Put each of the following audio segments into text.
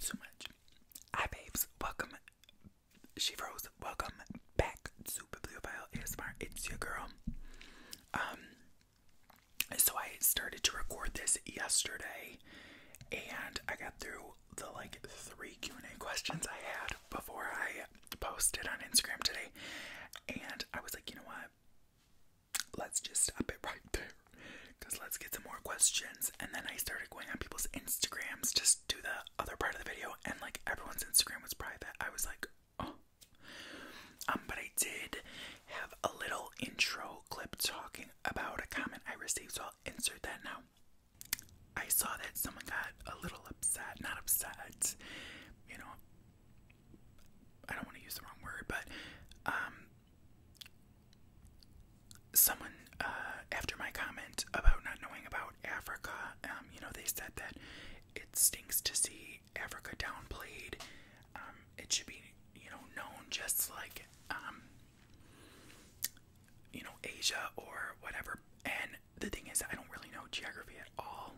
So much. Hi, babes. Welcome. She froze. Welcome back to Bibliophile Smart. It's your girl. Um, so I started to record this yesterday, and I got through the like three Q and A questions I had before I posted on Instagram today, and I was like, you know what? let's just stop it right there. Because let's get some more questions. And then I started going on people's Instagrams just to the other part of the video. And like everyone's Instagram was private. I was like, oh. Um, but I did have a little intro clip talking about a comment I received. So I'll insert that now. I saw that someone got a little upset. Not upset. You know, I don't want to use the wrong word, but um, someone uh, after my comment about not knowing about Africa, um, you know, they said that it stinks to see Africa downplayed. Um, it should be, you know, known just like, um, you know, Asia or whatever. And the thing is, I don't really know geography at all.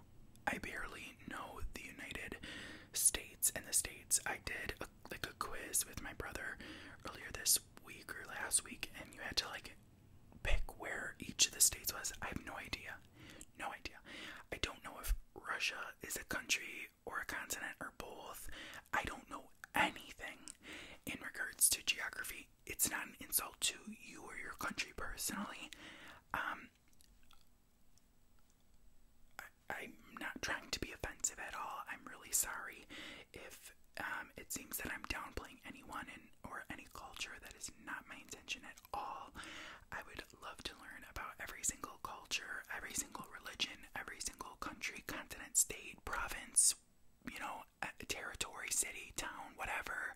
I barely know the United States and the states. I did like a quiz with my brother earlier this week or last week, and you had to like pick where each of the states was. I have no idea. No idea. I don't know if Russia is a country or a continent or both. I don't know anything in regards to geography. It's not an insult to you or your country personally. Um, I, am not trying to be offensive at all. I'm really sorry if um, it seems that I'm downplaying anyone and or any culture. That is not my intention at all. I would love to learn about every single culture, every single religion, every single country, continent, state, province, you know, uh, territory, city, town, whatever.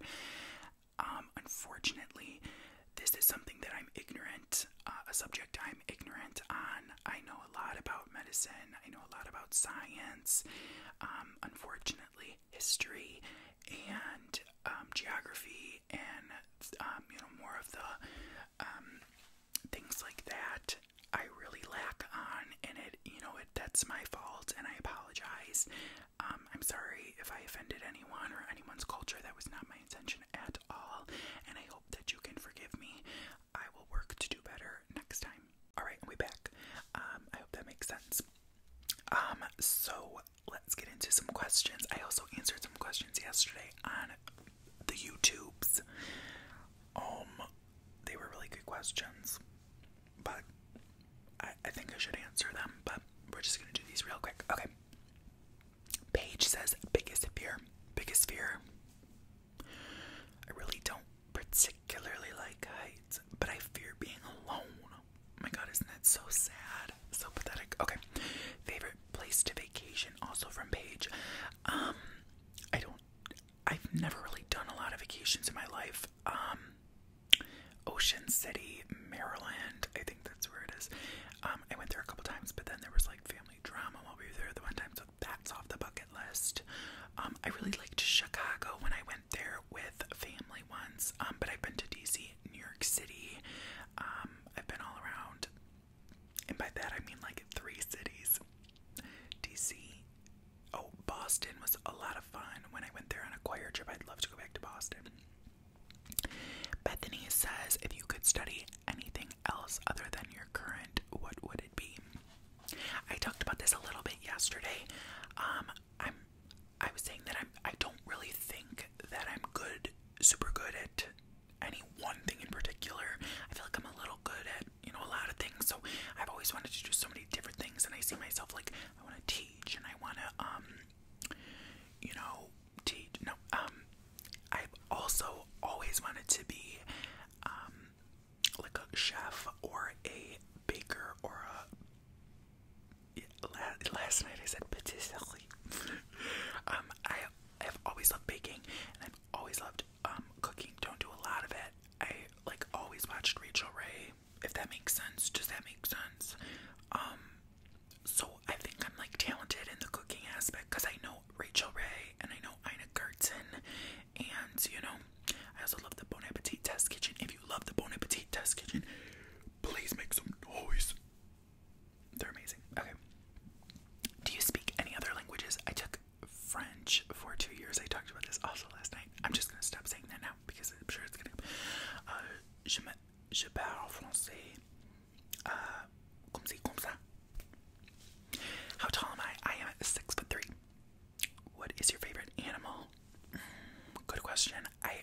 Um, unfortunately, this is something that I'm ignorant, uh, a subject I'm ignorant on. I know a lot about medicine, I know a lot about science, um, unfortunately, history and um, geography, and um, you know, more of the um, things like that. I really lack on, and it, you know, it that's my fault, and I apologize. Um, I'm sorry if I offended anyone or anyone's culture. That was not my intention at all. And I hope that you can forgive me. I will work to do better next time. Alright, right, I'll be back. Um, I hope that makes sense. Um, so let's get into some questions. I also answered some questions yesterday on the YouTubes. Um, they were really good questions, but I, I think I should answer them, but we're just gonna do these real quick. Okay. Page says, biggest fear. Biggest fear. I really don't particularly like heights, but I fear being alone. Oh my god, isn't that so sad? So pathetic. Okay. Favorite place to vacation, also from Page. Um, I don't I've never really done a lot of vacations in my life. Um Ocean City, Maryland. I think that's where it is. Um, I went there a couple times, but then there was like family drama while we were there the one time, so that's off the bucket list. Um, I really liked Chicago when I went there with family once, um, but I've been to DC, New York City. I've been all around, and by that I mean like three cities. DC. Oh, Boston was a lot of fun when I went there on a choir trip. I'd love to go back to Boston. Bethany says, if you could study anything else other than your current, what would it be? I talked about this a little bit yesterday. Um, I'm, I was saying that I'm, I don't really think that I'm good, super good at any one thing in particular. I feel like I'm a little good at, you know, a lot of things. So I've always wanted to do so many different things, and I see myself like I want to teach, and I want to, um, you know, teach. No, um, I've also always wanted to be, um, like a chef or a baker or a. Last night I said patisserie. Um, I have always loved baking and I've always loved cooking. Don't do a lot of it. I like always watched Rachel Ray. If that makes sense, does that make sense? so I think I'm like talented in the cooking aspect because I know Rachel Ray and I know Ina Garten, and you know I also love the Bon Appetit Test Kitchen. If you love the Bon Appetit Test Kitchen, please make some noise. They're amazing. Okay. Do you speak any other languages? I took French for two years. I talked about this also last night. I'm just gonna stop saying that now because I'm sure it's gonna. Uh, je parle français uh, comme si, comme ça. How tall am I? I am six foot three. What is your favorite animal? good question. I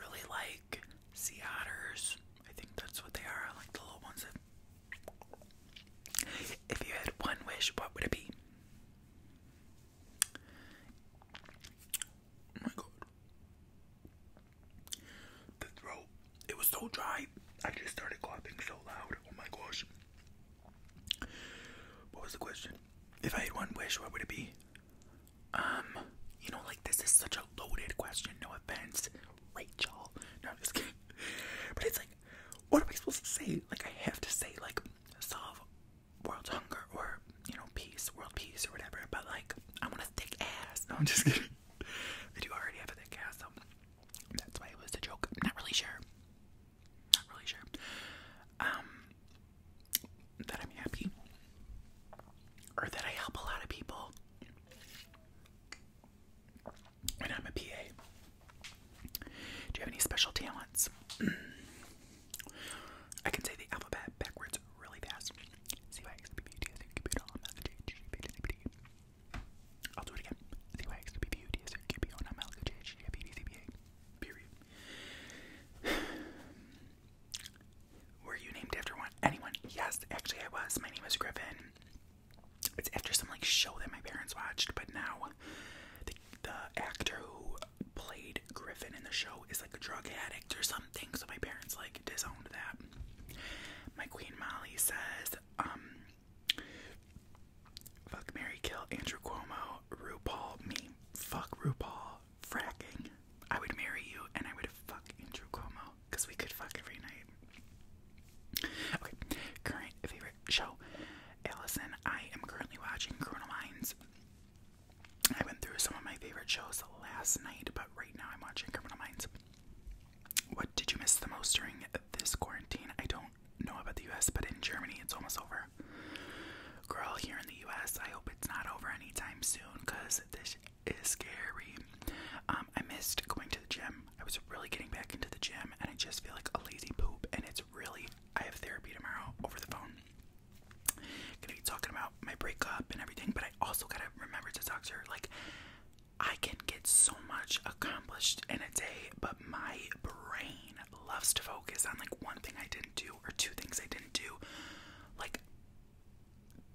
really like sea otters. I think that's what they are. I like the little ones. If you had one wish, what would it be? Oh my god. The throat, it was so dry. I just started coughing so loud. Oh my gosh. What was the question? If I had one wish, what would it be? Um, you know, like this is such a loaded question. No offense, Rachel. No, I'm just kidding. But it's like, what am I supposed to say? Like, I have to say, like, solve world hunger or you know peace, world peace or whatever. But like, I want a thick ass. I'm just kidding. I do already have a thick ass, so that's why it was a joke. I'm not really sure. Not really sure. Um, that I'm happy or that I help a lot of people. And I'm a PA. Do you have any special talents? I can say the alphabet backwards really fast. C Y X P B U T S U Q B O N M L K J H J P N B D. I'll do it again. C Y X P B U T S U Q B O N M L K J H J P N B D. Period. Were you named after one? Anyone? Yes, actually I was. My name is Griffin. It's after some like show that my parents watched, but now the the actor who played Griffin in the show is like a drug addict or something, so my parents like disowned that. My Queen Molly says, um, fuck Mary Kill, Andrew Cuomo, RuPaul, me, fuck RuPaul, fracking. I would marry you and I would fuck Andrew Cuomo because we could fuck every night. Okay, current favorite show. Allison, I am currently watching Criminal Minds. I went through some of my favorite shows last night, but right now I'm watching Criminal Minds. What did you miss the most during this quarantine? I don't know about the US, but in Germany it's almost over. Girl, here in the US, I hope it's not over anytime soon because this is scary. Um, I missed going to the gym. I was really getting back into the gym and I just feel like a lazy poop and it's really I have therapy tomorrow over the phone. Gonna be talking about my breakup and everything, but I also gotta remember to talk to her. Like, I can get so much accomplished in a day, but my brain loves to focus on like one thing I didn't do or two things I didn't do. Like,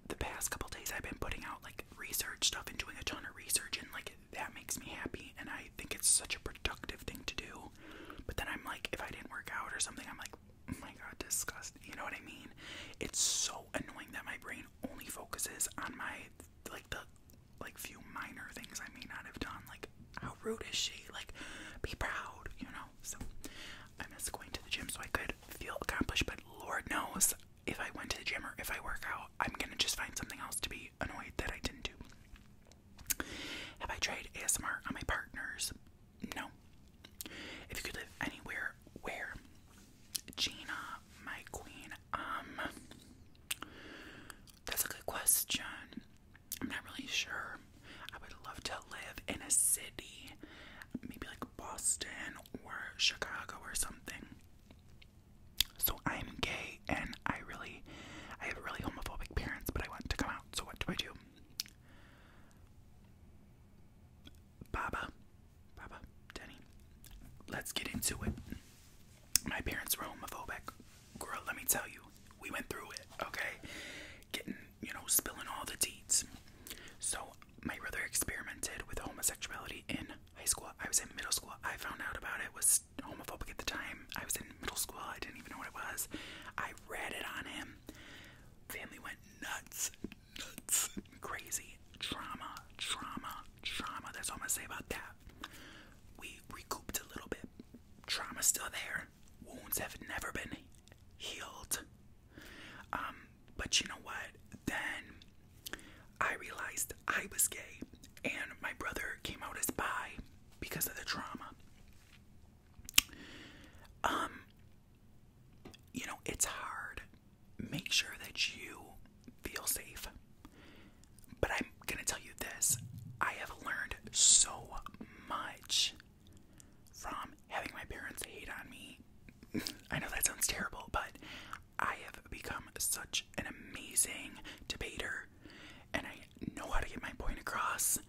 the past couple days, I've been putting out like research stuff and doing a ton of research, and like that makes me happy. And I think it's such a productive thing to do. But then I'm like, if I didn't work out or something, I'm like, Oh my god, disgust. You know what I mean? It's so annoying that my brain only focuses on my like the like few minor things I may not have done. Like, how rude is she? Like, be proud, you know. So I miss going to the gym so I could feel accomplished, but Lord knows if I went to the gym or if I work out, I'm gonna just find something else to be annoyed that I didn't do. Have I tried ASMR on my partners? No. If you could live anywhere, where? Gina, my queen. Um, that's a good question. I'm not really sure. I would love to live in a city, maybe like Boston or Chicago or something. So I'm gay and I really, I have really homophobic parents, but I want to come out. So what do I do? Baba, Baba, Denny. Let's get into it. My parents were homophobic. Girl, let me tell you, we went through it, okay? Getting, you know, spilling all the teats. So, my brother experimented with homosexuality in high school. I was in middle school. I found out about it was homophobic at the time. I was in middle school. I didn't even know what it was. I read it on him. Family went nuts, nuts, crazy. Trauma, trauma, trauma. That's all I'm gonna say about that. We recouped a little bit. Trauma's still there. Wounds have never been healed. Um, but you know what? Then I realized I was gay, and my brother came out as bi because of the trauma. Um, you know, it's hard. Make sure that you feel safe. But I'm gonna tell you this I have learned so much from having my parents hate on me. I know that sounds terrible, but I have become such an amazing debater and I know how to get my point across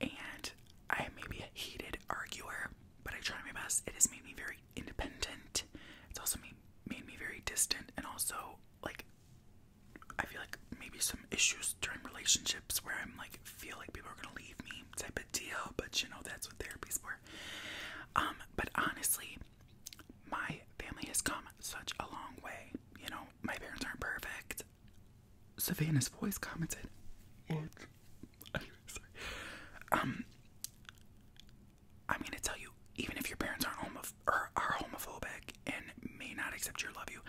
and I am maybe a heated arguer, but I try my best. It has made me very independent. It's also made, me very distant, and also like I feel like maybe some issues during relationships where I'm like feel like people are gonna leave me type of deal. But you know that's what therapy's for. Um, but honestly, my family has come such a long way. You know, my parents aren't perfect. Savannah's voice commented. What? Um, I'm gonna tell you, even if your parents aren't homo- or are homophobic and may not accept your love you,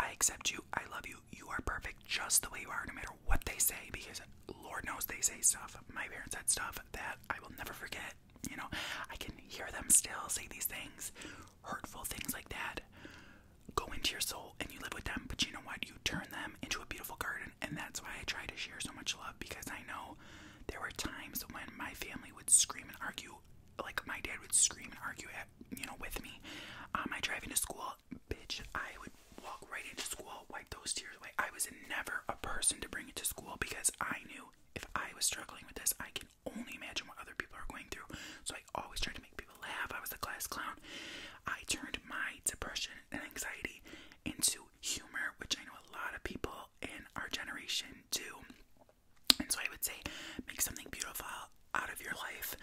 I accept you. I love you. You are perfect just the way you are, no matter what they say. Because Lord knows they say stuff. My parents said stuff that I will never forget. You know, I can hear them still say these things, hurtful things like that go into your soul and you live with them. But you know what? You turn them into a beautiful garden. And that's why I try to share so much love because I know there were times when my family would scream and argue. Like my dad would scream and argue at you know with me on um, my driving to school. Bitch, I would walk right into school, wipe those tears away. I was never a person to bring it to school because I knew if I was struggling with this, I can only imagine what other people are going through. So I always tried to make people laugh. I was a class clown. I turned my depression and anxiety into humor, which I know a lot of people in our generation do. And so I would say, make something beautiful out of your life.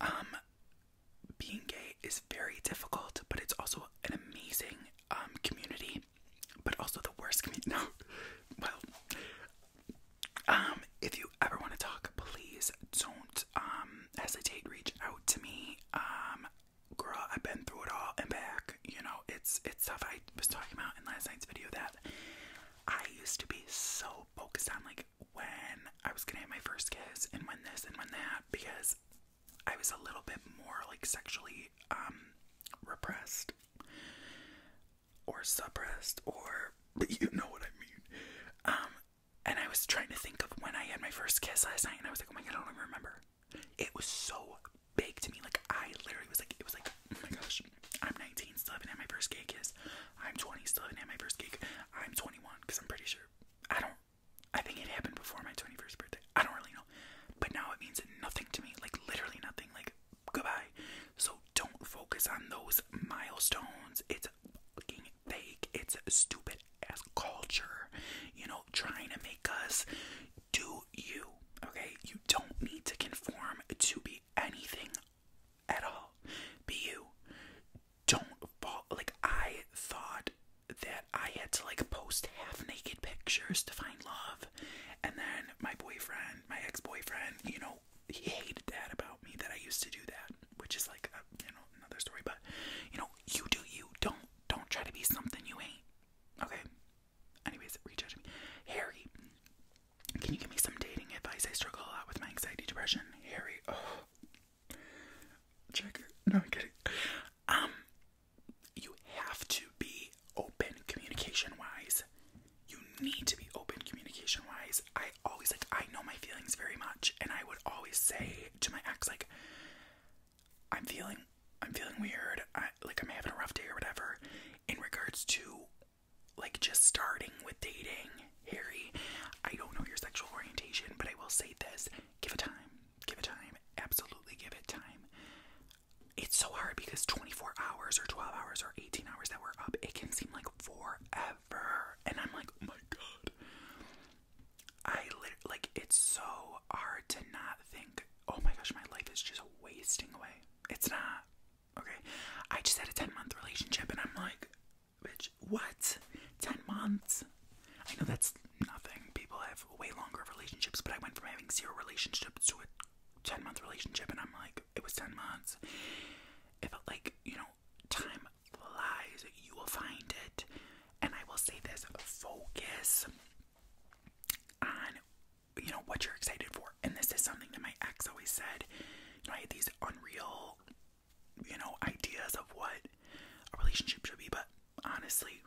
Um, being gay is very difficult, but it's also an amazing um, community, but also the worst community. No, well, um, if you ever want to talk, please don't um hesitate. Reach out to me. Um, girl, I've been through it all and back. You know, it's it's stuff I was talking about in last night's video that I used to be so focused on, like when I was gonna have my first kiss and when this and when that, because I was a little bit more like sexually um repressed or suppressed or you know what I mean. Um, and I was trying to think of when I had my first kiss last night, and I was like, oh my god, I don't even remember. It was so big to me. Like, I literally was like, it was like, oh my gosh, I'm 19, still haven't had my first gay kiss. I'm 20, still haven't had my first gay kiss. I'm 21, because I'm pretty sure. I don't, I think it happened before my 21st birthday. I don't really know. But now it means nothing to me. Like, literally nothing. Like, goodbye. So don't focus on those milestones. It's fucking fake, it's stupid as culture, you know, trying to make us do you, okay? You don't need to conform to be anything at all. Be you. Don't fall. Like, I thought that I had to like post half naked pictures to find love, and then my boyfriend, my ex boyfriend, you know, know, he hated that about me that I used to do that, which is like uh, you know another story. But you know, you do you. Don't don't try to be something you ain't. Okay. Anyways, rejudge me. Harry, can you give me some dating advice? I struggle a lot with my anxiety, depression. Harry, oh, checker. No, I'm kidding. Um, you have to be open communication wise. You need to be open communication wise. I I always like I know my feelings very much and I would always say to my ex like I'm feeling I'm feeling weird. like I'm having a rough day or whatever in regards to like just starting with dating, Harry. I don't know your sexual orientation, but I will say this, give it time. Give it time. Absolutely give it time. It's so hard because 24 hours or 12 hours or 18 hours that we're up, it can seem like forever. And I'm like, oh my god. I literally, like, it's so hard to not think, oh my gosh, my life is just wasting away. It's not. Okay. I just had a 10 month relationship and I'm like, bitch, what? 10 months? I know that's nothing. People have way longer relationships, but I went from having zero relationships to a 10 month relationship and I'm like, it was 10 months. It felt like, you know, time flies, you will find it. And I will say this focus on you know what you're excited for. And this is something that my ex always said. I had these unreal, you know, ideas of what a relationship should be, but honestly,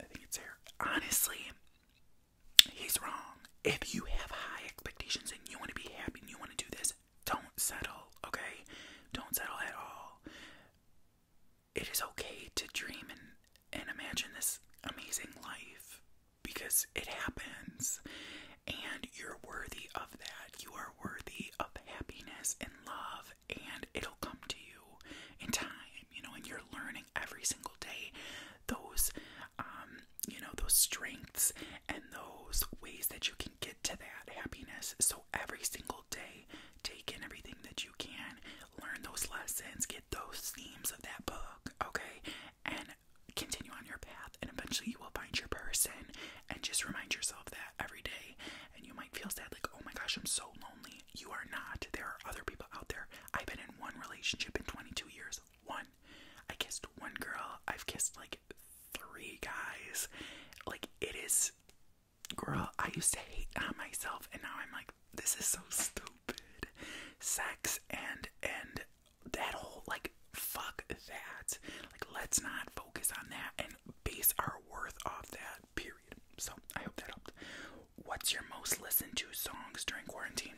I think it's here. Honestly, he's wrong if you have high expectations and you want to be happy and you want to do this, don't settle, okay? Don't settle at all. It is okay to dream and, and imagine this amazing life because it happens and you're worthy of that. You are worthy of happiness and love, and it'll come to you in time, you know, and you're learning every single day those um you know, those strengths and those ways that you can get to that happiness. So every single day, take in everything that you can, learn those lessons, get those themes of that book, okay? And continue on your path, and eventually you will find your person. And just remind yourself that every day. And you might feel sad, like, oh my gosh, I'm so lonely. You are not. There are other people out there. I've been in one relationship in 22 years one. I kissed one girl. I've kissed like three guys. Like it is girl, I used to hate on myself and now I'm like this is so stupid. Sex and and that whole like fuck that. Like let's not focus on that and base our worth off that period. So I hope that helped. What's your most listened to songs during quarantine?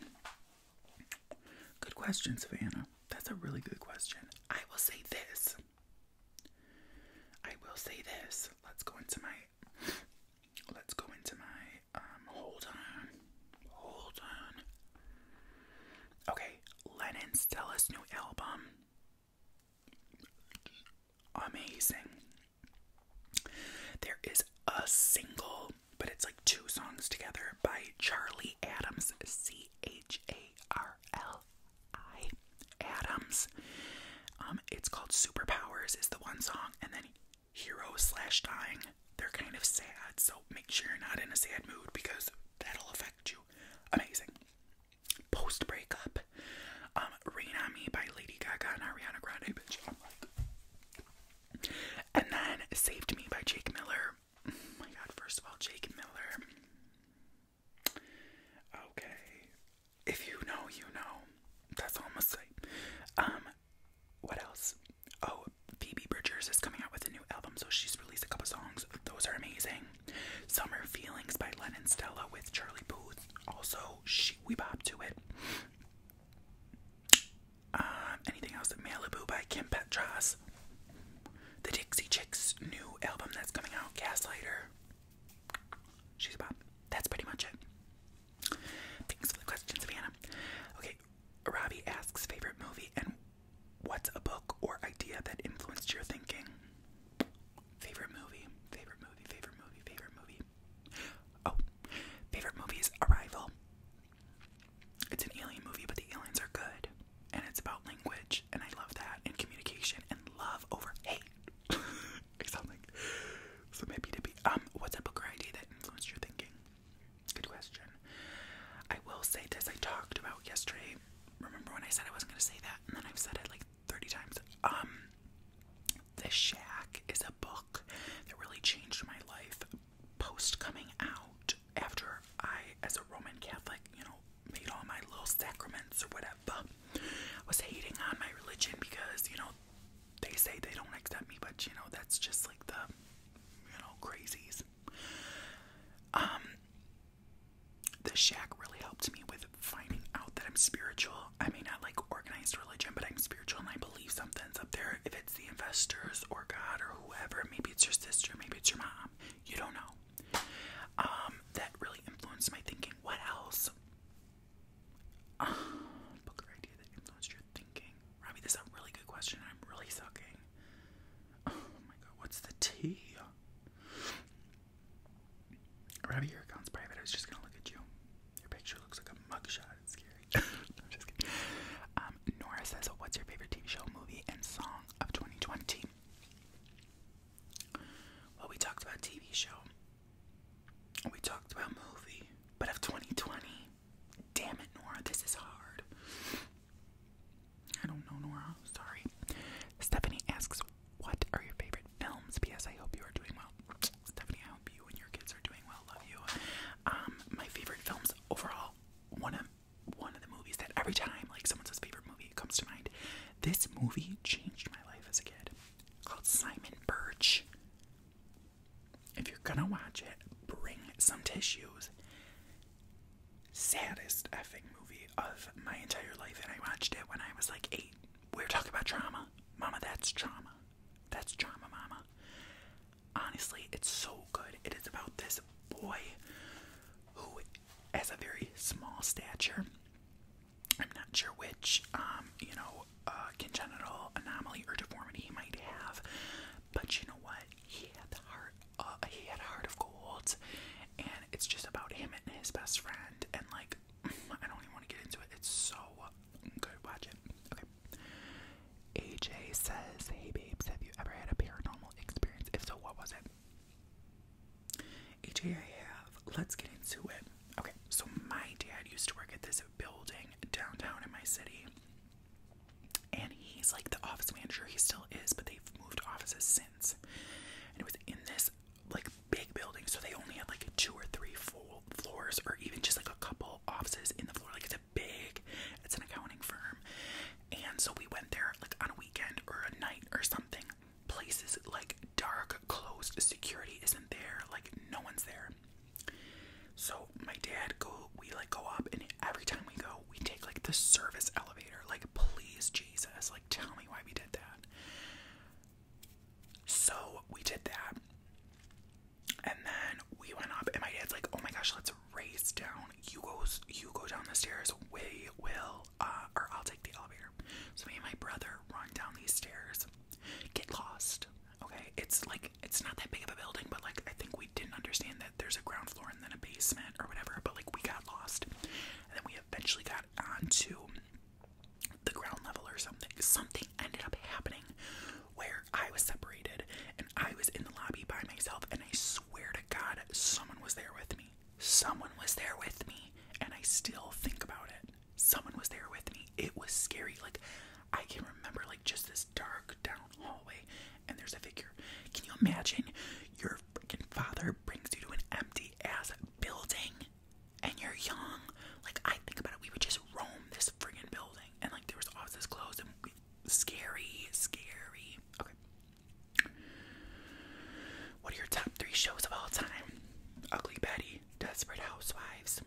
Good question, Savannah. That's a really good question. I will say this. I will say this. Let's go into my let's go into my um hold on. Hold on. Okay, Lennon's Stella's new album. Amazing. There is a single but it's like two songs together by Charlie Adams, C H A R L I Adams. Um, it's called Superpowers is the one song, and then Hero slash Dying. They're kind of sad, so make sure you're not in a sad mood because that'll affect you. Amazing. Post breakup. Um, Rain on Me by Lady Gaga and Ariana Grande, And then Saved Me by Jake Miller. Oh my god, first of all, Jake Miller. Okay. If you know, you know. That's all i Um, what else? Oh, Phoebe Bridgers is coming out with a new album, so she's released a couple songs. Those are amazing. Summer Feelings by Lennon Stella with Charlie Booth. Also, she we bopped to it. Uh, anything else? Malibu by Kim Petras. The Dixie Chicks' new album that's coming out, Gaslighter. She's pop. That's pretty much it. Thanks for the question, Savannah. Okay, Robbie asks favorite movie and what's a book or idea that influenced your thinking? Favorite movie, favorite movie, favorite movie, favorite movie. Oh, favorite movie is Arrival. It's an alien movie, but the aliens are good. And it's about language, and I love that, and communication, and love over hate. I sound like some hippie dippy. Um, what's a book or idea that influenced your thinking? Good question. I will say this I talked about yesterday. Remember when I said I wasn't gonna say that, and then I've said it like 30 times. Um, The Shack is a book that really changed my life post coming out after I, as a Roman Catholic, you know, made all my little sacraments or whatever, I was hating on my religion because, you know, they say they don't accept me, but, you know, that's just like the, you know, crazies. Um, the shack really helped me with finding out that I'm spiritual. I may not like organized religion, but I'm spiritual and I believe something's up there. If it's the investors or God or whoever, maybe it's your sister, maybe it's your mom, you don't know. Um, that really influenced my thinking. What else? Uh, idea that influenced your thinking. Robbie, this is a really good question. I'm really sucking. Oh my god, what's the T? Robbie, your account's private. I was just gonna look at you. Your picture looks like a mugshot. It's scary. I'm just kidding. Um, Nora says, What's your favorite TV show, movie, and song of 2020. Well, we talked about TV show. We talked about movie, but of 2020. Damn it, Nora, this is hard. I don't know, Nora. Sorry. Stephanie asks, "What are your favorite films?" P.S. I hope you are doing well. Stephanie, I hope you and your kids are doing well. Love you. Um, my favorite films overall. One of one of the movies that every time like someone says favorite movie it comes to mind. This movie changed my life as a kid. Called Simon Birch. If you're gonna watch it, bring some tissues. Saddest effing movie of my entire life, and I watched it when I was like eight. We we're talking about trauma. Mama, that's trauma. That's trauma, mama honestly, it's so good. It is about this boy who has a very small stature. I'm not sure which, um, you know, uh, congenital anomaly or deformity he might have, but you know what? He had the heart. Uh, he had a heart of gold, and it's just about him and his best friend. And like, I don't even want to get into it. It's so good. Watch it. Okay. AJ says, Hey babes, have you ever had a paranormal experience? If so, what was it? AJ, I have. Let's get into it. Okay, so my dad used to work at this building downtown in my city. And he's like the office manager. He still is, but they've moved offices since. And it was in this like big building, so they only had like two or three full floors, or even just like a couple offices in the floor. Like a big. It's an accounting firm. And so we went there like on a weekend or a night or something. Places like dark, closed, security isn't there, like no one's there. So my dad go we like go up and every time we go we take like the service elevator. Like please Jesus, like tell me why we did that. So we did that. And then we went up and my dad's like, oh my gosh, let's race down. You goes you go down the stairs. We will uh or I'll take the elevator. So me and my brother run down these stairs. Get lost. Okay? It's like it's not that big of a building, but like I think we didn't understand that there's a ground floor and then a basement or whatever, but like we got lost. And then we eventually got onto the ground level or something. Something ended up happening where I was separated and I was in the lobby by myself and I swear to God, someone was there with me. Someone was there with me, and I still think about it. Someone was there with me. It was scary. Like, I can remember, like, just this dark down hallway, and there's a figure. Can you imagine your freaking father brings you to an empty ass building and you're young? Like, I think about it, we would just roam this friggin' building, and like, there was offices closed, and we, Scary, scary. Okay. What are your top three shows of all time? Ugly Betty, Desperate Housewives.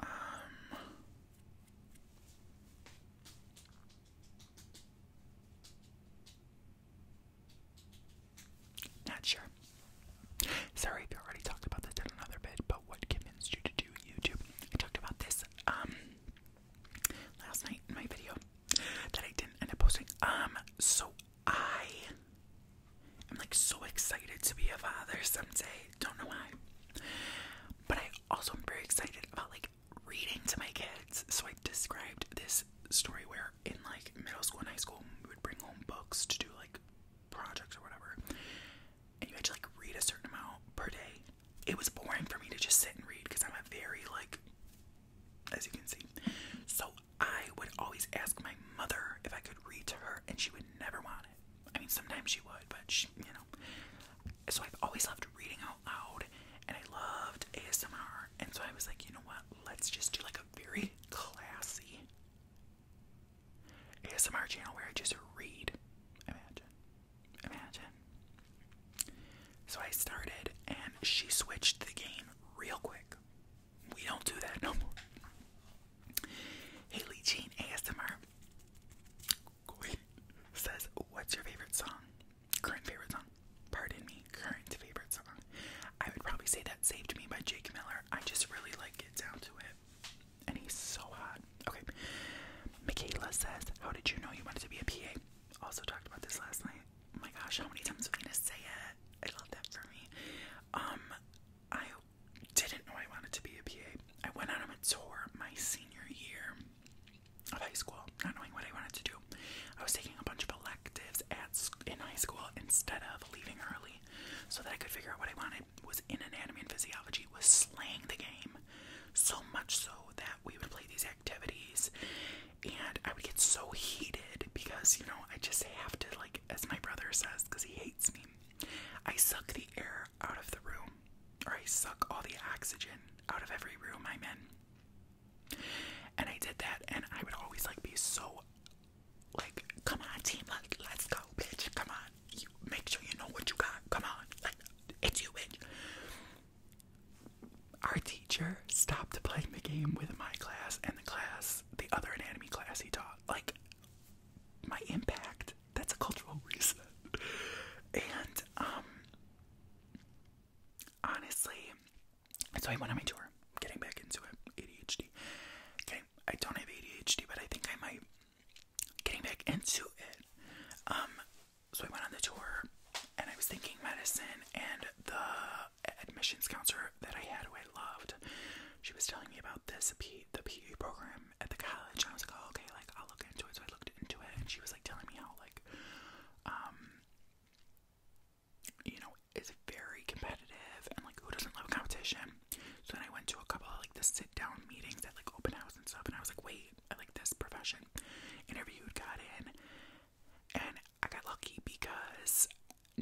Um. Not sure. Sorry if already talked about this in another bit, but what convinced you to do YouTube. I talked about this um, last night in my video that I didn't end up posting. Um, so I am like so excited to be a father someday. Don't know why. But I also am very excited about like reading to my kids. So I described this story where in like middle school and high school we would bring home books to do like projects or whatever and you had to like read a certain amount per day. It was boring for me to just sit and read because I'm a very like, as you can see. So I would always ask my mother if I could read to her, and she would never want it. I mean, sometimes she would, but she, you know. So I've always loved reading out loud, and I loved ASMR, and so I was like, you know what? Let's just do like a very classy ASMR channel where I just read. Imagine. Imagine. So I started and she switched the game real quick. We don't do that no more. Haley Jean ASMR says, What's your favorite song? Current favorite song. Pardon me, current favorite song. I would probably say that Saved Me by Jake Miller. I just really like it down to it and he's so hot. Okay. Michaela says, How did you know you wanted to be a PA? Also talked about this last night. Oh my gosh, how many times am I gonna say it? I love that for me. Um, I didn't know I wanted to be a PA. I went on a tour my senior year of high school, not knowing what I wanted to do. I was taking a bunch of electives at in high school instead of leaving early, so that I could figure out what I wanted was in anatomy and physiology was slaying the game. So much so that we would play these activities and I would get so heated because, you know, I just have to, like, as my brother says, because he hates me, I suck the air out of the room. Or I suck all the oxygen out of every room I'm in. And I did that and I would always, like, be so, like, come on, team, let, let's go, bitch, come on. You make sure you know what you got. Come on. Like it's you bitch. Our teacher stopped playing the game with my class and the class, the other anatomy class he taught. Like my impact, that's a cultural reason. And um honestly, so I went on my tour. Getting back into it, ADHD. Okay, I don't have ADHD, but I think I might getting back into it, um, so I went on the tour and I was thinking medicine and the admissions counselor that I had who I loved, she was telling me about this P the PE program at the college and I was like, oh, okay, like I'll look into it. So I looked into it and she was like telling me how like um you know, it's very competitive and like who doesn't love competition? So then I went to a couple of like the sit down meetings at like open house and stuff, and I was like, wait, I like this profession. Interviewed, got in, and I got lucky because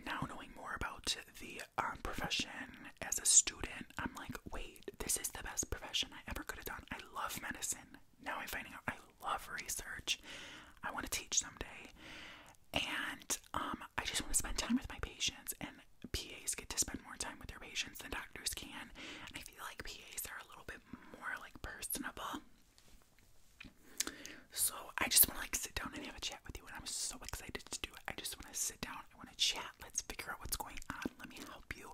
now knowing more about the um, profession as a student, I'm like, wait, this is the best profession I ever could have done. I love medicine. Now I'm finding out I love research. I want to teach someday. And um, I just want to spend time with my patients and PAs get to spend more time with their patients than doctors can. And I feel like PAs are a little bit more like personable. So I just want to like sit down and have a chat with you, and I'm so excited to do it. I just want to sit down. I want to chat. Let's figure out what's going on. Let me help you.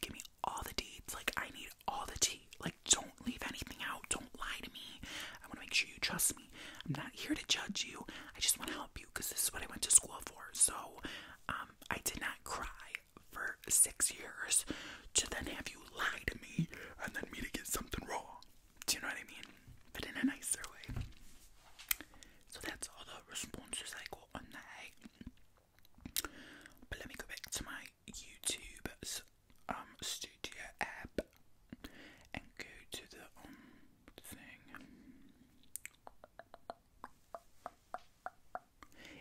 Give me all the deeds. Like I need all the tea. Like don't leave anything out. Don't lie to me. I want to make sure you trust me. I'm not here to judge you. I just want to help you because this is what I went to school for. So um, um, I did not cry for six years to then have you lie to me and then me to get something wrong. Do you know what I mean? But in a nicer way. So that's all the responses I got on that. But let me go back to my YouTube um, studio app and go to the um thing.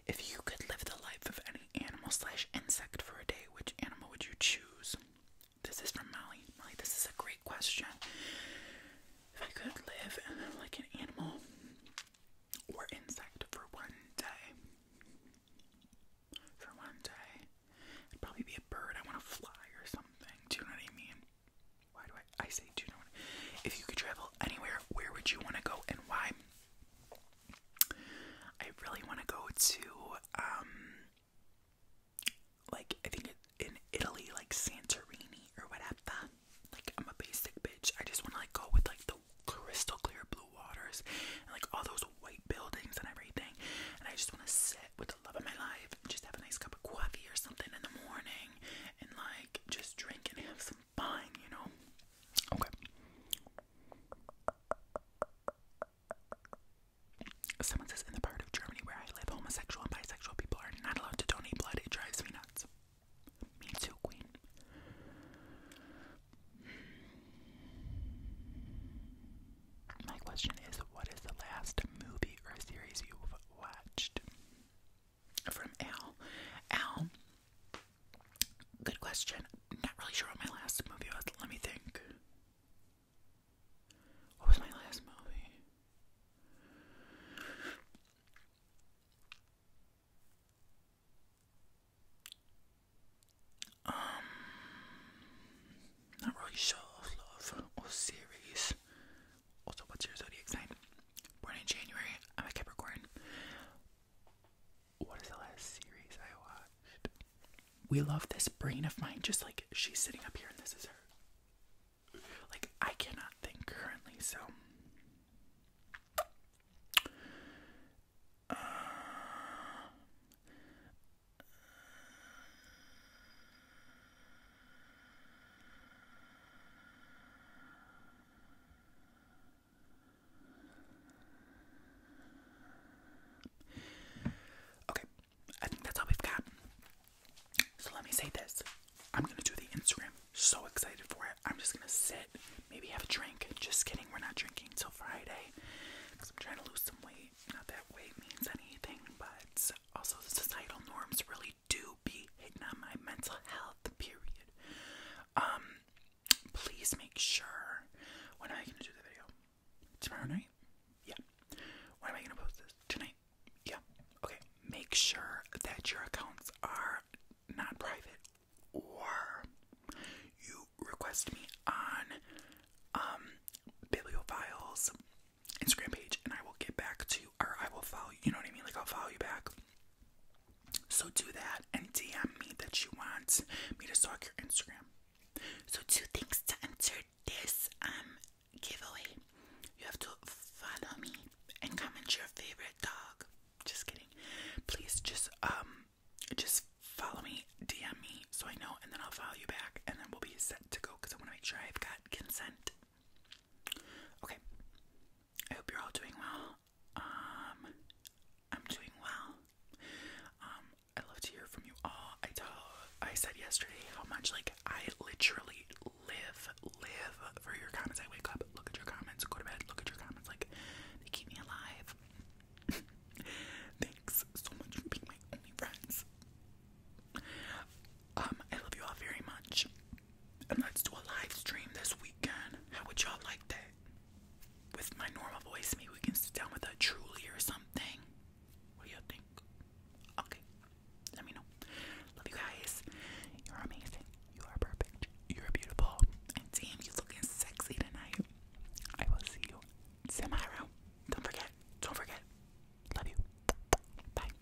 If you could live the life of any animal slash insect for a day, which animal would you choose? This is from Molly. Molly, this is a great question. If I could live like an animal or insect for one day, for one day, it'd probably be a bird. I want to fly or something. Do you know what I mean? Why do I? I say do you If you could travel anywhere, where would you want to go and why? I really want to go to um, like I think in Italy, like Santorini or whatever. Like I'm a basic bitch. I just want to like go with like the crystal clear blue waters and like all those white buildings and everything. And I just want to sit with the love of my life and just have a nice cup of coffee or something in the morning and like like just drink and have some fun, you know? Okay. Someone says in the part of Germany where I live, homosexual and bisexual people are not allowed to donate blood. It drives me nuts. Me too, Queen. My question is what is the last movie or series you've watched? from Al. Al, good question. Not really sure what my last movie was. Let me think. What was my last movie? Um, not really sure. Love or series. Also, what's your zodiac sign? Born in January. I'm a Capricorn. What is the last series I watched? We love this brain of mine. Just like she's sitting up here, and this is her. Like I cannot think currently, so. Okay, I think that's all we've got. So let me say this. I'm gonna do the Instagram. So excited for it. I'm just gonna sit, maybe have a drink. Just kidding, we're not drinking till Friday. Because I'm trying to lose some weight. Not that weight means anything, but also societal norms really do be hitting on my mental health, period. Um, please make sure. When am I gonna do the video? Tomorrow night? Yeah. When am I gonna post this? Tonight? Yeah. Okay. Make sure that your accounts are not private or you request me on um bibliophiles Instagram page and I will get back to you or I will follow you. You know what I mean? Like, I'll follow you back. So do that and DM me that you want me to stalk your Instagram. So two things to enter this um giveaway. You have to follow me and comment your favorite dog. Just kidding. Please just um just follow me, DM me so I know and then I'll follow you back and then we'll be set to go because I want to make sure I've got consent. Okay. I hope you're all doing well. Um, I'm doing well. Um, I love to hear from you all. I tell, I said yesterday how much like I literally live, live for your comments. I wake up, look at your comments, go to bed, look at your comments. Like they keep me alive. Thanks so much for being my only friends. Um, I love you all very much and let's do a live stream this weekend. How would y'all like that? With my normal voice, maybe we can sit down with a truly or something. What do you think? Okay, let me know. Love you guys. You're amazing. You are perfect. You're beautiful. And damn, you looking sexy tonight. I will see you tomorrow. Don't forget. Don't forget. Love you. Bye.